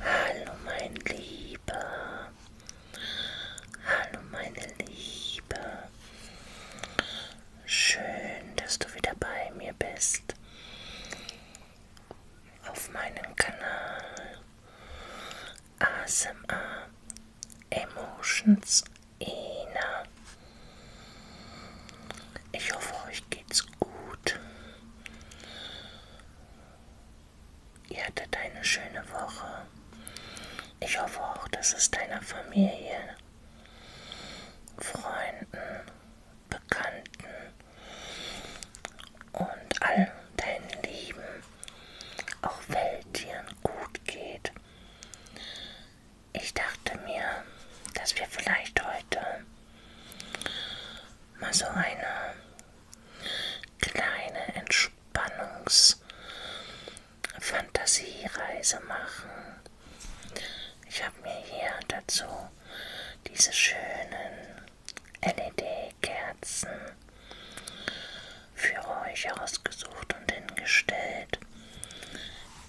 Hallo mein Lieber. Hallo meine Liebe. Schön, dass du wieder bei mir bist. Auf meinem Kanal ASMR Emotions Ina. Ich hoffe, euch geht's gut. Ihr hattet eine schöne Woche. Ich hoffe auch, dass es deiner Familie, Freunden, Bekannten und all deinen Lieben, auch Welttieren, gut geht. Ich dachte mir, dass wir vielleicht heute mal so eine kleine Entspannungsfantasiereise machen. Ich habe mir hier dazu diese schönen LED-Kerzen für euch ausgesucht und hingestellt.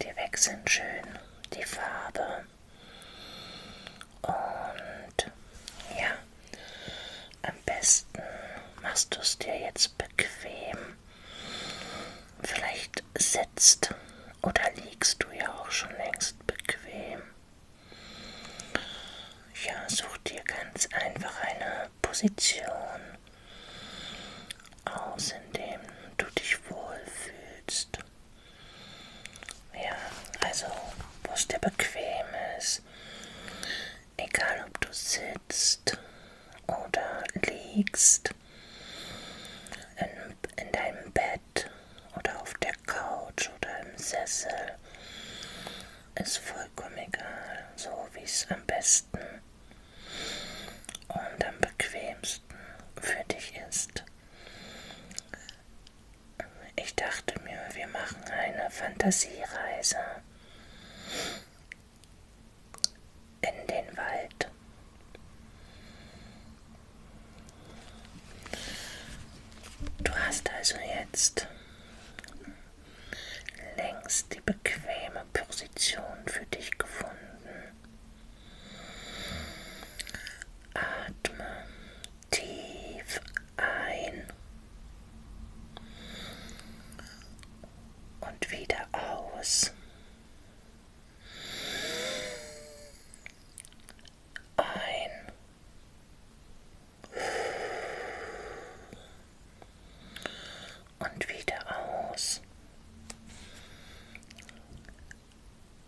Die wechseln schön die Farbe. Und ja, am besten machst du es dir jetzt bequem. Vielleicht sitzt oder liegst du ja auch schon längst bequem. Ja, such dir ganz einfach eine Position aus, in dem du dich wohlfühlst. Ja, also Bus, der bequem ist. Egal, ob du sitzt oder liegst, in, in deinem Bett oder auf der Couch oder im Sessel, ist vollkommen egal, so wie es am besten und am bequemsten für dich ist. Ich dachte mir, wir machen eine Fantasiereise in den Wald. Du hast also jetzt längst die bequeme Position für dich gefunden. Atme tief ein und wieder aus. Ein und wieder aus.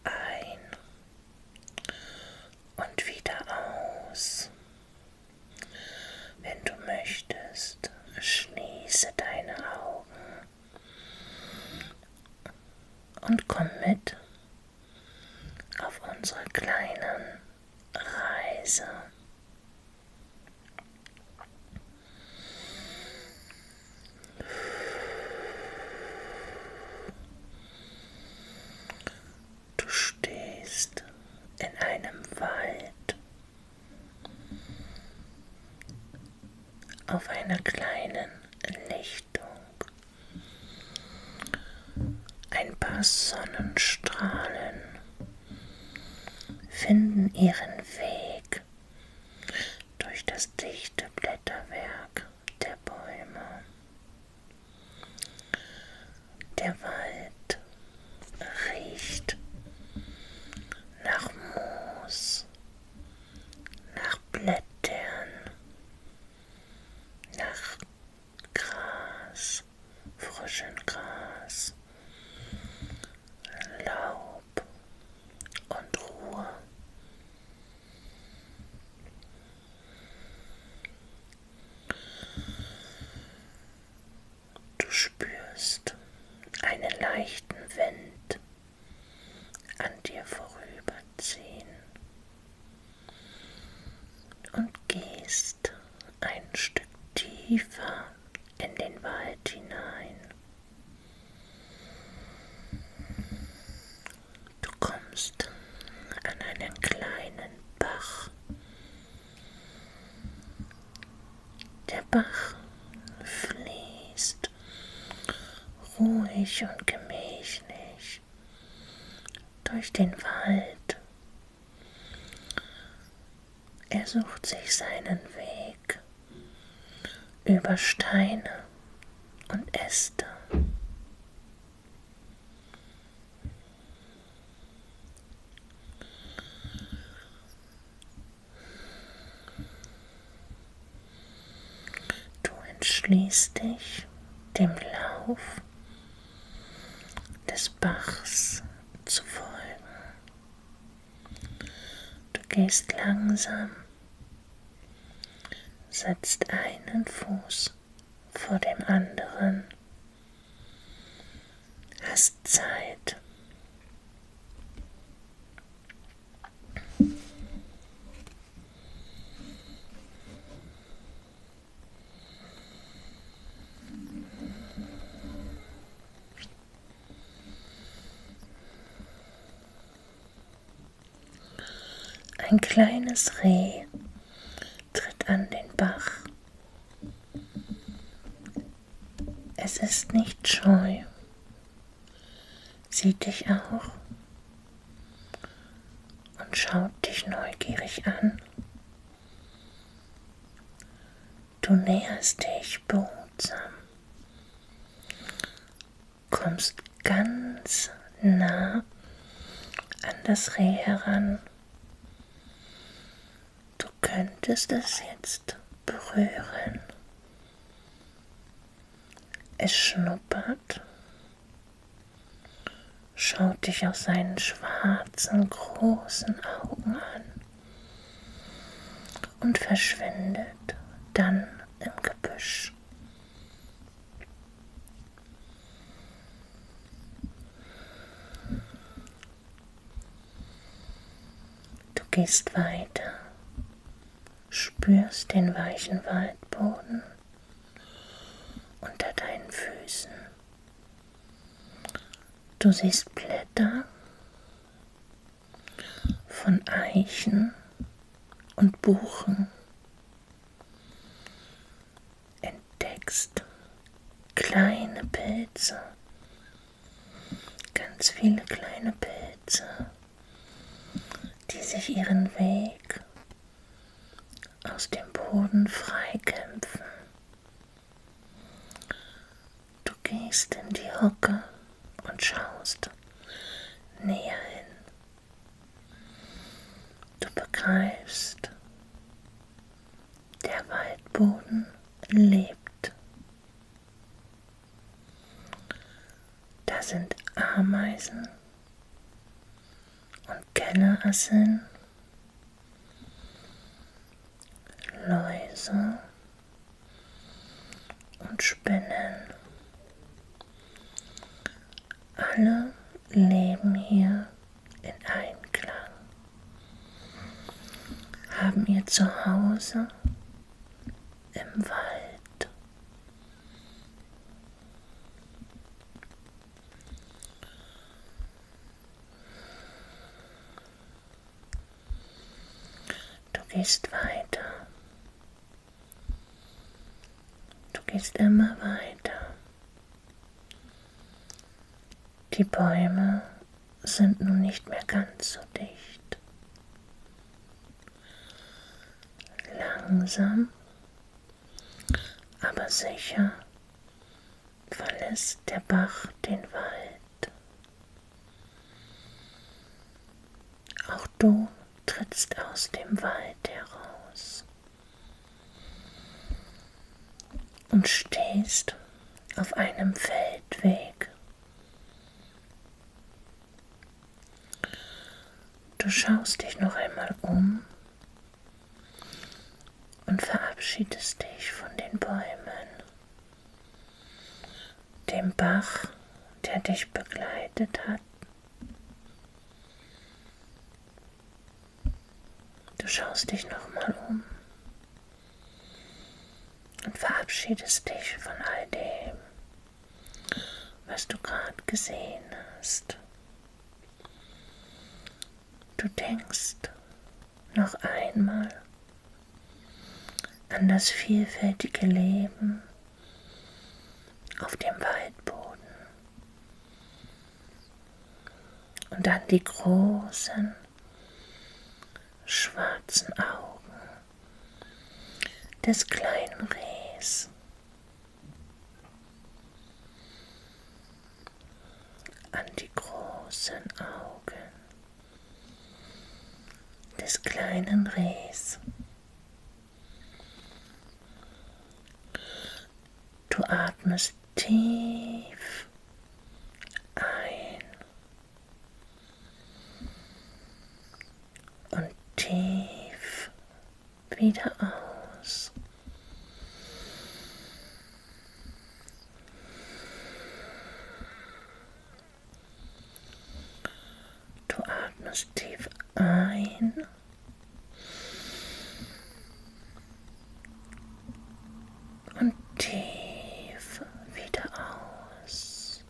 Ein und wieder aus. Wenn du möchtest, schließe deine Augen und komm mit auf unsere kleinen Reise. Du stehst in einem Wald auf einer kleinen Lichtung. Ein paar Sonnenstrahlen finden ihren Weg durch das dichte Blätterwerk der Bäume. Der Wald riecht nach Moos, nach Blättern, nach Gras, frischem Gras, Laub. Staub und Ruhe. Du spürst einen leichten Wind an dir vorüberziehen und gehst ein Stück tiefer in den Wald hinein. Du kommst an einen kleinen Bach. Der Bach fließt ruhig und gemächlich durch den Wald. Er sucht sich seinen Weg über Steine und Äste. Du entschließt dich dem Lauf des Bachs zu folgen. Du gehst langsam, setzt einen Fuß vor dem anderen, hast Zeit. Ein kleines Reh tritt an den Bach. Es ist nicht scheu, sieht dich auch und schaut dich neugierig an. Du näherst dich behutsam, kommst ganz nah an das Reh heran. Du könntest es jetzt berühren. Es schnuppert, schaut dich aus seinen schwarzen, großen Augen an und verschwindet dann im Gebüsch. Du gehst weiter, spürst den weichen Waldboden unter deinen Füßen Du siehst Blätter von Eichen und Buchen. Entdeckst kleine Pilze, ganz viele kleine Pilze, die sich ihren Weg aus dem Boden freikämpfen Du gehst in die Hocke und schaust näher hin. Du begreifst, der Waldboden lebt. Da sind Ameisen und Kellerasseln Läuse und Spinnen. Alle leben hier in Einklang, haben ihr Zuhause im Wald. Du gehst weiter. Du gehst immer weiter. Die Bäume sind nun nicht mehr ganz so dicht. Langsam, aber sicher verlässt der Bach den Wald. Auch du trittst aus dem Wald heraus und stehst auf einem Feldweg. Du schaust dich noch einmal um und verabschiedest dich von den Bäumen, dem Bach, der dich begleitet hat. Du schaust dich nochmal um und verabschiedest dich von all dem, was du gerade gesehen hast. Du denkst noch einmal an das vielfältige Leben auf dem Waldboden und an die großen schwarzen Augen des kleinen Rehs an die großen Augen des kleinen Rehs. Du atmest tief ein und tief wieder aus. Du atmest tief ein. Und tief wieder aus.